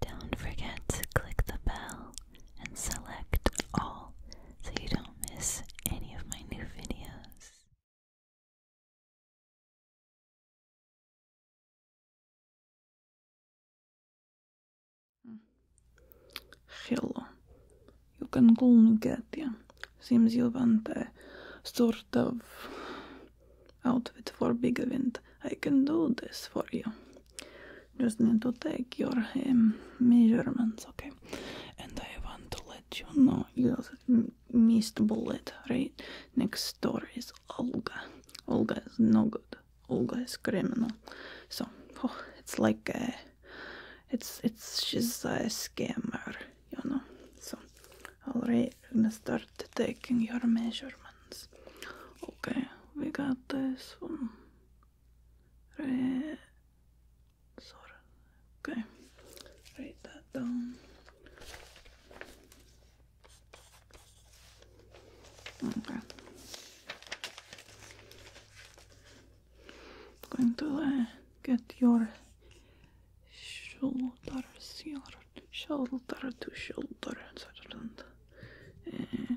Don't forget to click the bell and select all so you don't miss any of my new videos. Hello, you can call me Katya. Seems you want a sort of outfit for big event. I can do this for you. Just need to take your um, measurements, okay? And I want to let you know you missed bullet, right? Next door is Olga. Olga is no good. Olga is criminal. So oh, it's like a, it's it's she's a scammer, you know. So all right, right, gonna start start taking your measurements. Okay, we got this one. Right. Sorry. Okay, write that down. Okay. I'm going to get your shoulders here. shoulder to shoulder sort of uh,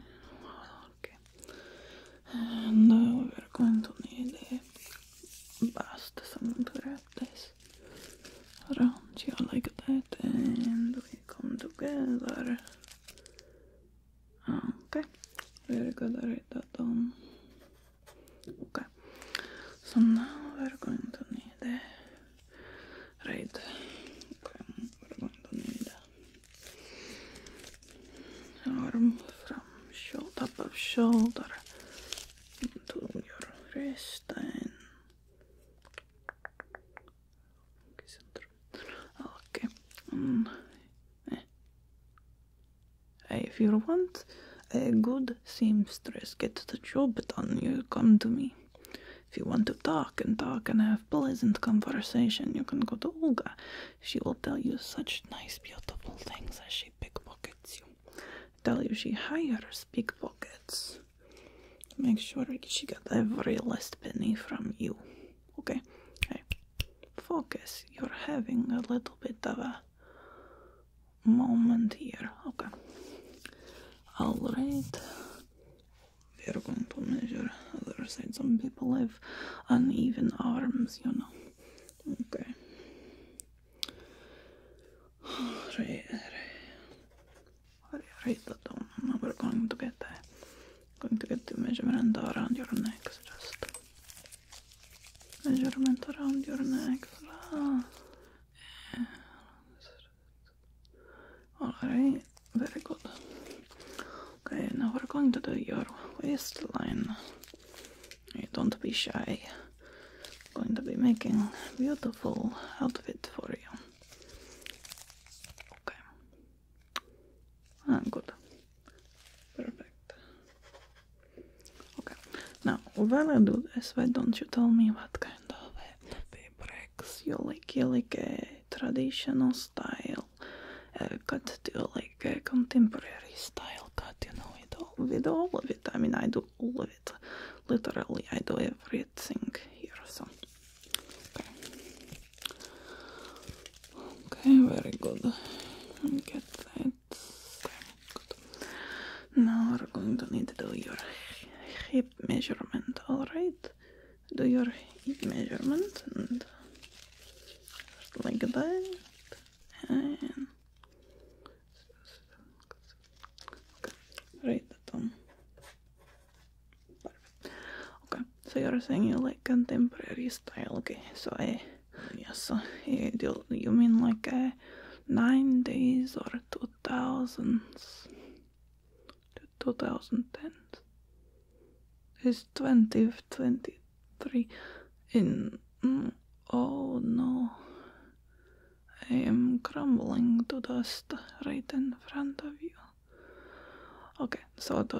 okay. And uh, we're going to need a bust, someone to wrap this around you like that, and we come together. Okay, we're gonna write that down. Okay, so now we're going to need a right arm from shoulder to shoulder into your wrist and okay, center. Mm. Eh. If you want a good seamstress, get the job done. You come to me. If you want to talk and talk and have pleasant conversation, you can go to Olga. She will tell you such nice, beautiful things as she pickpockets you. Tell you she hires pickpockets. Make sure she got every last penny from you. Okay? Hey, focus. You're having a little bit of a moment here. Okay. Alright we're going to measure other side. Some people have uneven arms, you know. Okay. Right, right. Write that down. Now we're going to get that. Going to get the measurement around your neck. just measurement around your neck. So, ah. Alright, very good. Okay, now we're going to do your waistline. Don't be shy. going to be making beautiful outfit for you. Okay. Ah, good. Perfect. Okay. Now, what I do this, why don't you tell me what kind of fabrics you like? You like a traditional style uh, eh, cut to like a eh, contemporary style cut, you know, with all, with all of it. I mean, I do all of it. Literally, I do everything here. So, okay, very good. Get that. Good. Now we're going to need to do your hip measurement, alright? do your hip measurement and like that and right the thumb okay so you're saying you like contemporary style okay so i yes so you, you mean like a uh, nine days or two thousands to 2010. It's 2023 in. Mm, oh no. I am crumbling to dust right in front of you. Okay, so the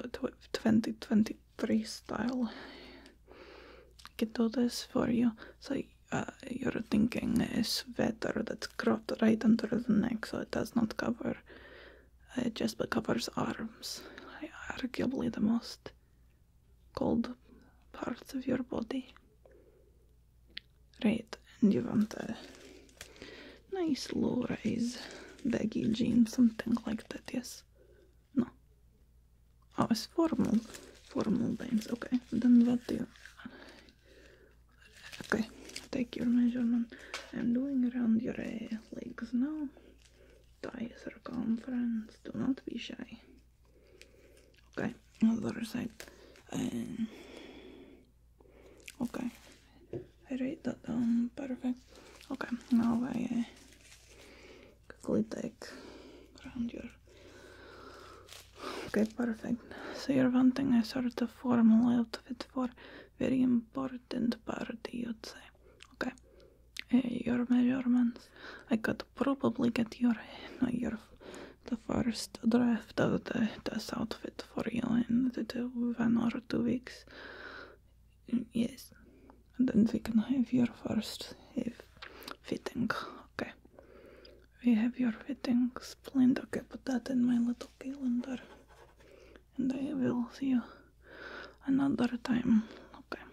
2023 style. I can do this for you. So uh, your thinking is better than cropped right under the neck, so it does not cover. It uh, just covers arms. Arguably the most cold parts of your body. Right, and you want a nice low rise baggy jeans, something like that, yes? No. Oh, it's formal. Formal jeans, okay. Then what do you Okay, take your measurement. I'm doing around your uh, legs now. Tie circumference, do not be shy. Okay, the other side. Um, okay, I write that down, perfect. Okay, now I uh, quickly take around your Okay, perfect. So you're wanting a sort of formal outfit for very important part, you'd say. Okay. Eh, your measurements. I could probably get your, uh, your the first draft of the test outfit for you in one or two weeks. Mm, yes. And then we can have your first if fitting. Okay. We have your fitting planned. Okay, put that in my little calendar. and I will see you another time. Okay.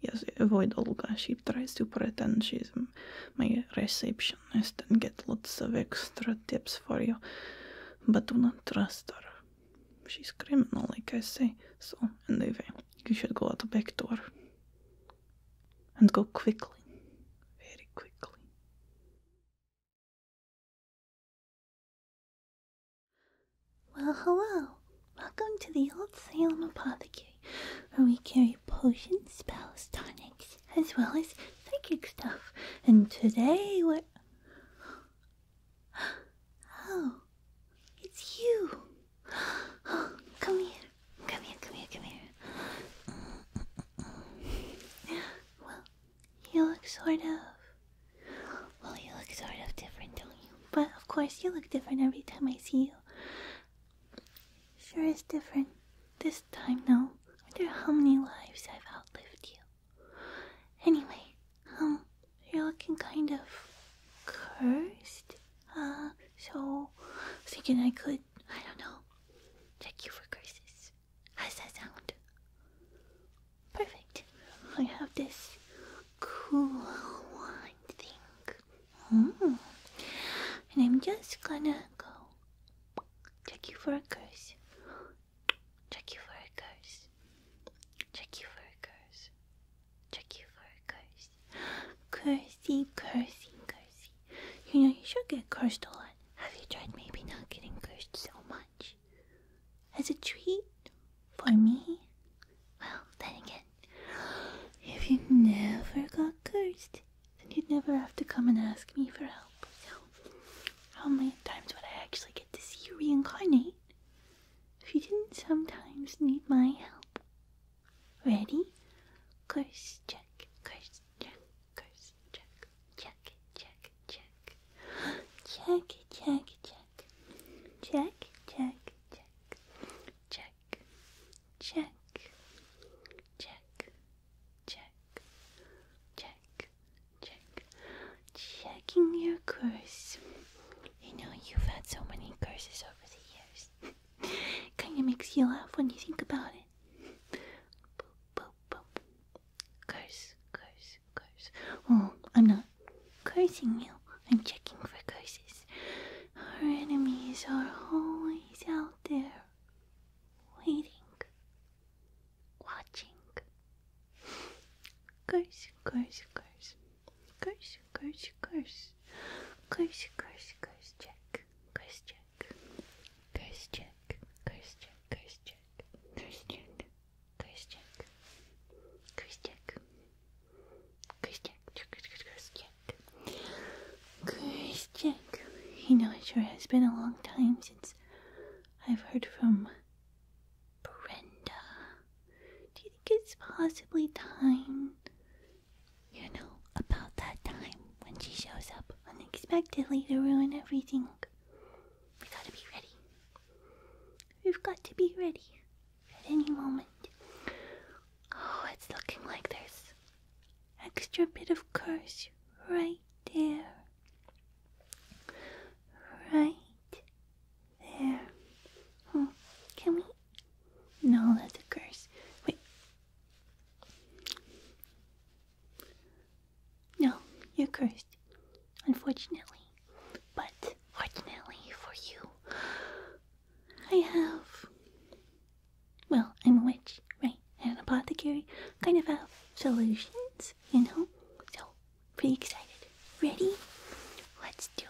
Yes, avoid Olga. She tries to pretend she's my receptionist and get lots of extra tips for you, but do not trust her. She's criminal, like I say. So, anyway, you should go out the back door. And go quickly. Very quickly. Well, hello. Welcome to the Old Salem Apothecary, where we carry potions, spells, tonics, as well as psychic stuff. And today we're. Oh, it's you. come here. Come here, come here, come here. Well, you look sort of. Well, you look sort of different, don't you? But of course, you look different every time I see you. Sure is different this time, though. I wonder how many lives I've outlived you. Anyway, um, you're looking kind of cursed. Uh, so thinking I could, I don't know, check you for curses. How's that sound? Perfect. I have this cool wand thing. Mm. And I'm just gonna go check you for a curse. Check you for a curse. Check you for a curse. Check you for a curse. Cursey, cursey, cursey. You know, you should get cursed a lot. Have you tried maybe not getting cursed so much? As a treat? For me? Well, then again, if you never got cursed, then you'd never have to come and ask me for help. how many times would I actually get to see you reincarnate if you didn't sometimes need my help? Ready? Curse check, curse check, curse. Check, check, check, check. Check, check, check. Check, check, check. Check, check, check, check, check, check. Checking your curse. I know you've had so many curses over the years. Kinda makes you laugh when you think about it it. Boop, boop, Oh, I'm not cursing you. I'm checking for curses. Our enemies are always out there, waiting, watching. Curses! Curses! Curses! Curses! Curses! Curses! Curse, curse, check. Curse, check. Curse, check. Curse, check. Christian, Christian, Christian, Christian, Christian, Christian. You know, it sure has been a long time since I've heard from Brenda. Do you think it's possibly time? You know, about that time when she shows up unexpectedly to ruin everything. We gotta be ready. We've got to be ready at any moment. Oh, it's looking like there's extra bit of curse right there. Right there. Oh, can we? No, that's a curse. Wait. No, you're cursed, unfortunately. But fortunately for you, I have. Well, I'm a witch, right? And an apothecary. Kind of have solutions, you know? So, pretty excited. Ready? Let's do it.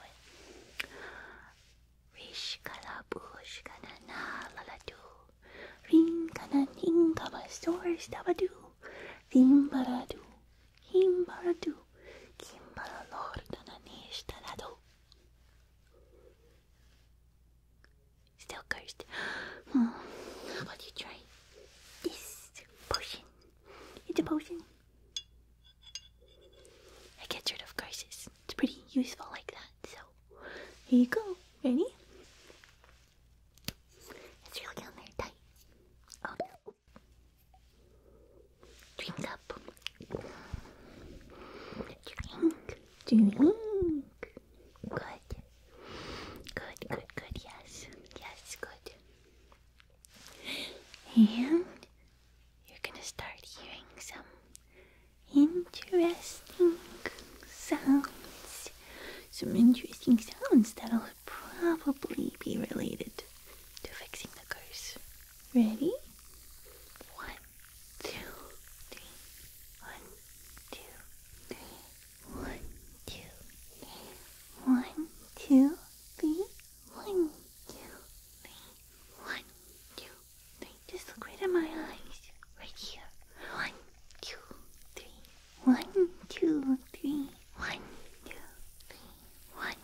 Rinkananinkabastorstavadu, Thimbaradu, Himbaradu, Kimbaralordananishtanadu. Still cursed. Hmm. How about you try this potion? It's a potion. I get rid of curses. It's pretty useful like that. So, here you go. Ready? It's really on there tight. Oh, Drink up. Drink. Drink. Good. Good, good, good. Yes. Yes, good. And you're going to start hearing some interesting sounds out some interesting sounds that'll probably be related to fixing the curse. Ready? One, two, three. One, two, three. One, two, three. One, two, three. One, two, three. One, two, three. Just look right at my eyes. Right here. One, two, three. One, two, three. One, two, three. One,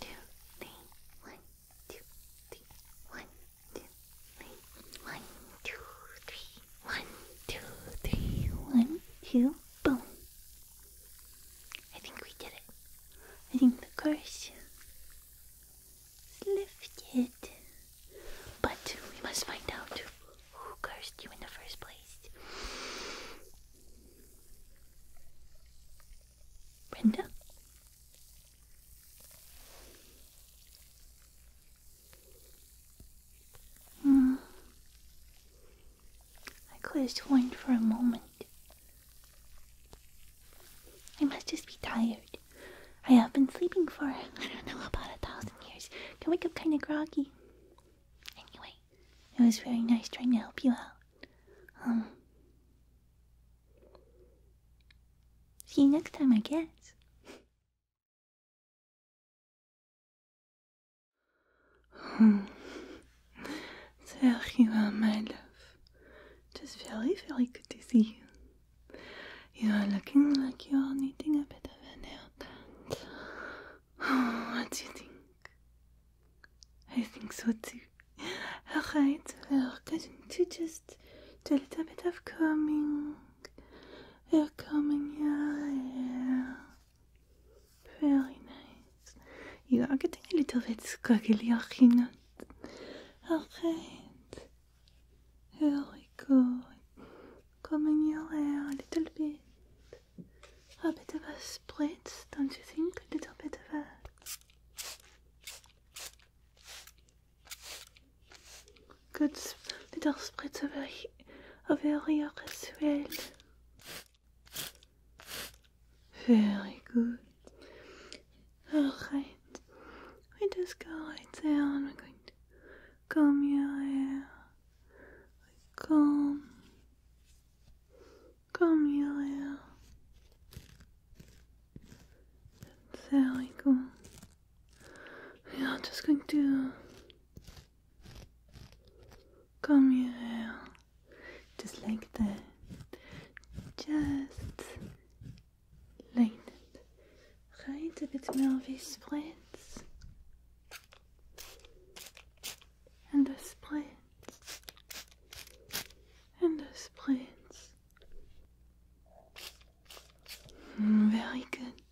two, three. One, two, three. One, two, three. One, two, three. One, two, three. One, two, boom. I think we did it. I think the curse is lifted. But we must find out who cursed you in the first place. Brenda? Hmm. I closed one for a moment. I must just be tired. I have been sleeping for, I don't know, about a thousand years. Can wake up kind of groggy. Anyway, it was very nice trying to help you out. Um, see you next time, I guess. There you are, my love. It is very, very good to see you. You are looking like you are needing a bit of an out. Oh, what do you think? I think so too. Alright, well, are going to just do a little bit of coming. We're combing your hair. Very nice. You are getting a little bit squiggly, are not you not? Alright. Here we go Combing your hair a little bit. A bit of a spritz, don't you think? A little bit of a good little spritz over, he over here as well. Very good. Alright, we just go right there and we're going to comb your hair Come, come calm you little. There we go. We are just going to come you just like that. Just like that. Right, a bit more of a and a split and a split. Mm, very good.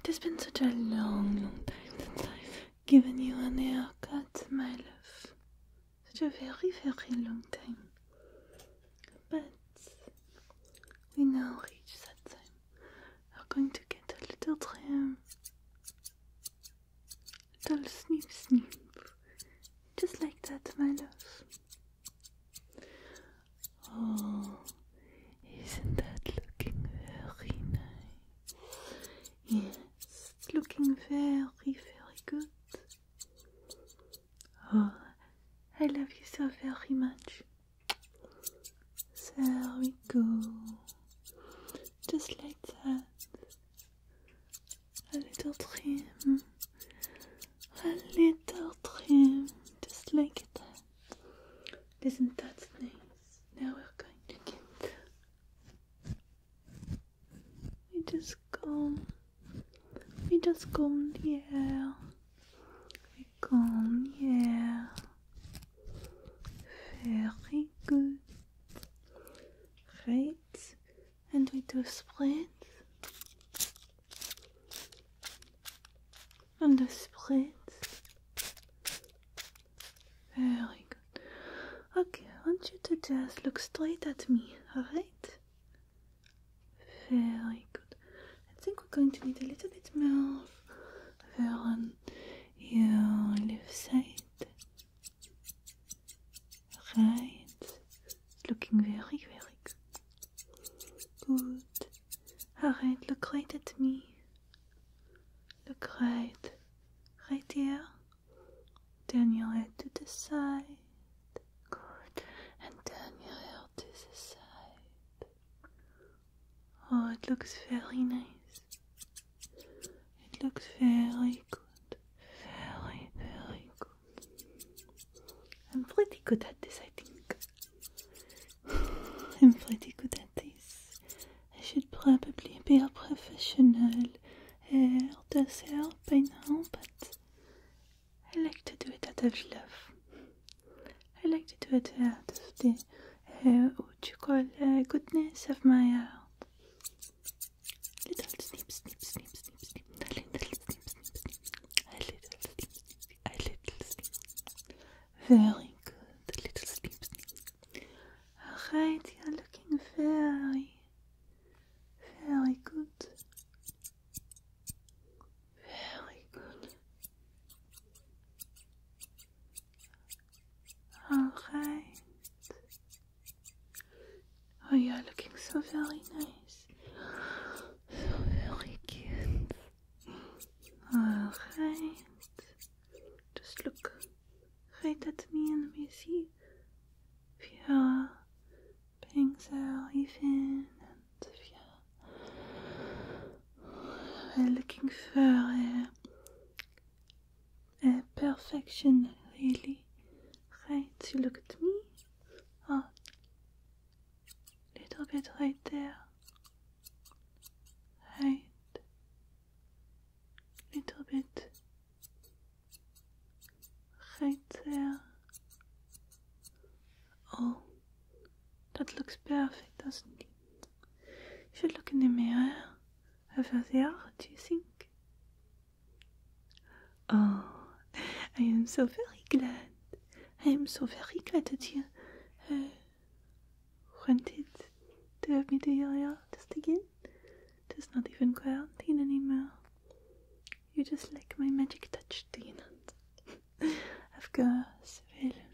It has been such a long, long time since I've given you an haircut, my love. Such a very, very long time. But we now reach that time. I'm going to get a little trim, little snip snip, just like that, my love. Oh, isn't that looking very nice? Yes, looking very, very good. Oh, I love you so very much. There we go. Just like that. A little trim. A little trim. Just like that. Isn't that nice? Now we're going to get. We just comb. We just comb the hair. Come here. Very good. Right, and we do split. And the split. Very good. Okay, I want you to just look straight at me, alright? Very good. I think going to need a little bit more over on your left side, right, looking very, very good. Good. Alright, look right at me. Look right, right here. Turn your head to the side. Good. And turn your head to the side. Oh, it looks very nice. It looks very good. Very, very good. I'm pretty good at this, I think. I'm pretty good at this. I should probably be a professional hairdresser uh, does hair by now, but I like to do it out of love. I like to do it uh, out of the uh, what you call uh, goodness of my heart. Little sleep, snip, snip, snip, snip. A little A little snip, snip. A little snip. Very good. A little sleep, snip. Alright, you're looking very, very good. Very good. All right. Oh, you're looking so very nice. So very cute. All right. Just look right at me and we see you your bangs are even if you're looking for a perfection, really. Right, you look at me. Oh, little bit right there. Right, little bit right there. Oh, that looks perfect, doesn't it? You should look in the mirror over there, do you think? Oh, I am so very glad. I am so very glad that you uh, wanted to have me to your hair just again. It is not even quarantine anymore. You just like my magic touch, do you not? of course, William.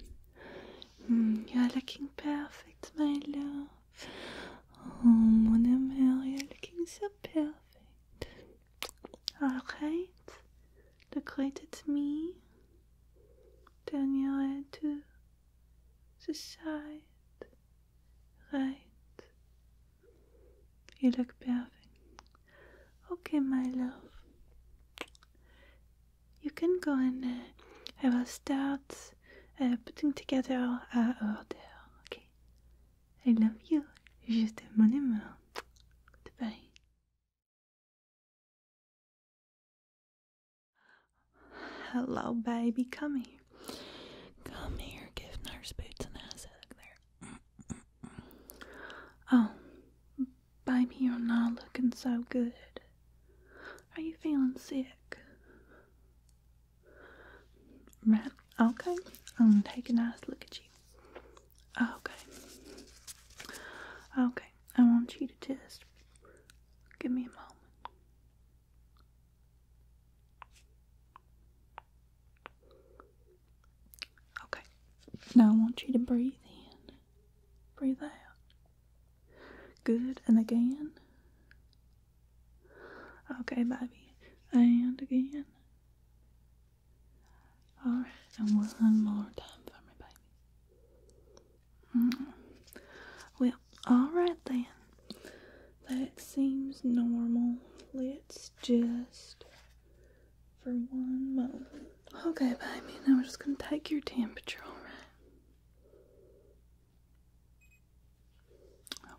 Mm, you're looking perfect, my love. Oh, mon amour, you're looking so perfect. Alright, look right me. Turn your head to the side. Right. You look perfect. Okay, my love you can go and I will start putting together our order, okay? I love you. Je t'aime mon amour. Goodbye. Hello, baby. Come here. Come here. Give nurse boots an ass out of there. Mm, mm, mm. oh, Baby, you're not looking so good. Are you feeling sick? Right, okay. I'm gonna take a nice look at you. Okay. Okay, I want you to just give me a moment. Okay, now I want you to breathe in. Breathe out. Good, and again. Okay, baby. And again. Alright, and one more time for me, baby. Mm-hmm. Well, alright then. That seems normal. Let's just, for one moment, Okay, baby, now we're just going to take your temperature, alright?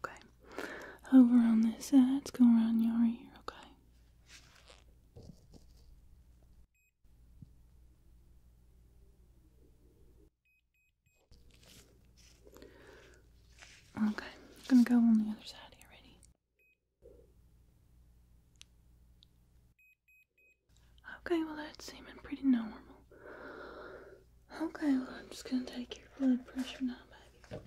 Okay. Over on this side, it's going around your ear, okay? Okay, I'm gonna go on the other side here, ready? Okay, well that's seeming pretty normal. Okay, well I'm just gonna take your blood pressure now, baby.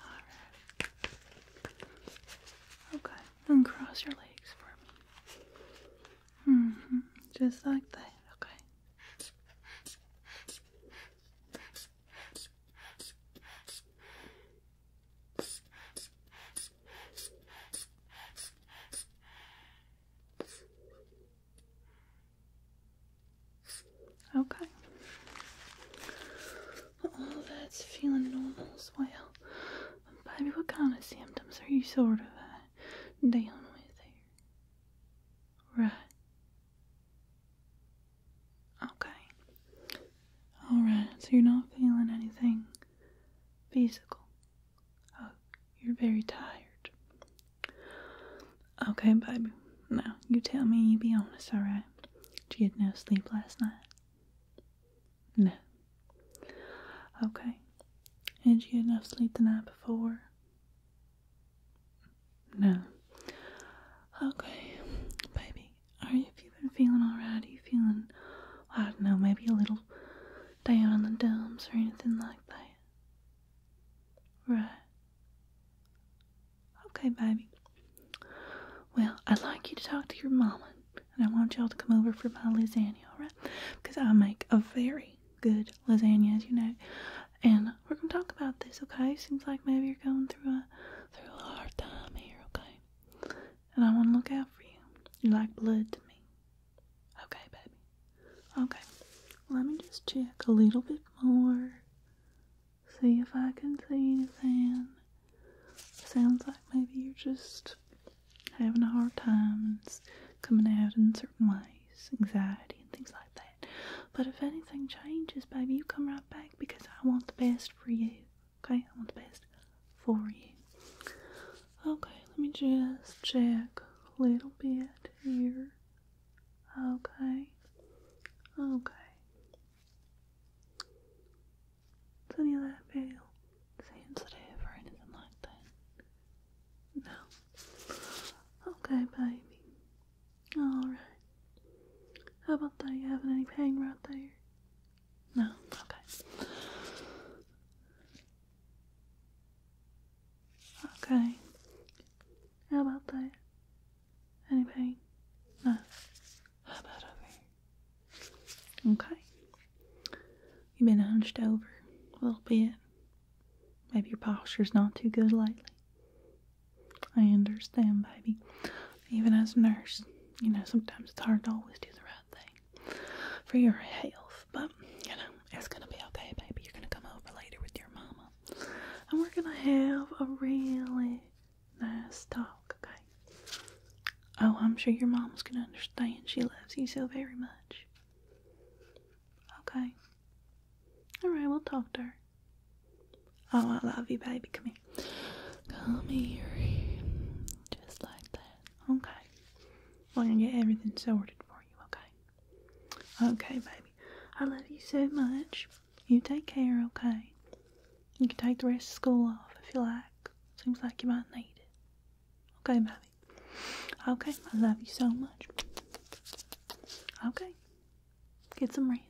Alright. Okay, and cross your legs for me. Mm hmm Just like that, okay. Okay. All that's feeling normal as well. Baby, what kind of symptoms are you sort of uh, down with here? Right. Okay. Alright, so you're not feeling anything physical. Oh, you're very tired. Okay, baby. Now, you tell me you be honest, alright? Did you get no sleep last night? No. Okay. Did you get enough sleep the night before? No. Okay, baby, are you, have you been feeling alright? Are you feeling, I don't know, maybe a little down in the dumps or anything like that? Right. Okay, baby. Well, I'd like you to talk to your mama, and I want y'all to come over for my lasagna, alright? Because I make a very good lasagna, as you know. And we're gonna talk about this, okay? Seems like maybe you're going through a through a hard time here, okay? And I want to look out for you. You're like blood to me. Okay, baby. Okay. Let me just check a little bit more. See if I can see anything. Sounds like maybe you're just having a hard time. It's coming out in certain ways, anxiety and things like that. But if anything changes, baby, you come right back because I want the best for you. Okay, I want the best for you. Okay, let me just check a little bit here. Okay. Okay. Does any of that feel sensitive or anything like that? No. Okay, baby. Alright. How about that? You having any pain right there? No? Okay. Okay. How about that? Any pain? No. How about over Okay. You've been hunched over a little bit. Maybe your posture's not too good lately. I understand, baby even as a nurse, you know, sometimes it's hard to always do the right thing for your health. But, you know, it's going to be okay, baby. You're going to come over later with your mama. And we're going to have a really nice talk, okay? Oh, I'm sure your mama's going to understand. She loves you so very much. Okay. Alright, we'll talk to her. Oh, I love you, baby. Come here. Come here. Just like that. Okay. I'm going to get everything sorted for you, okay? Okay, baby. I love you so much. You take care, okay? You can take the rest of school off if you like. Seems like you might need it. Okay, baby. Okay, I love you so much. Okay. Get some rest.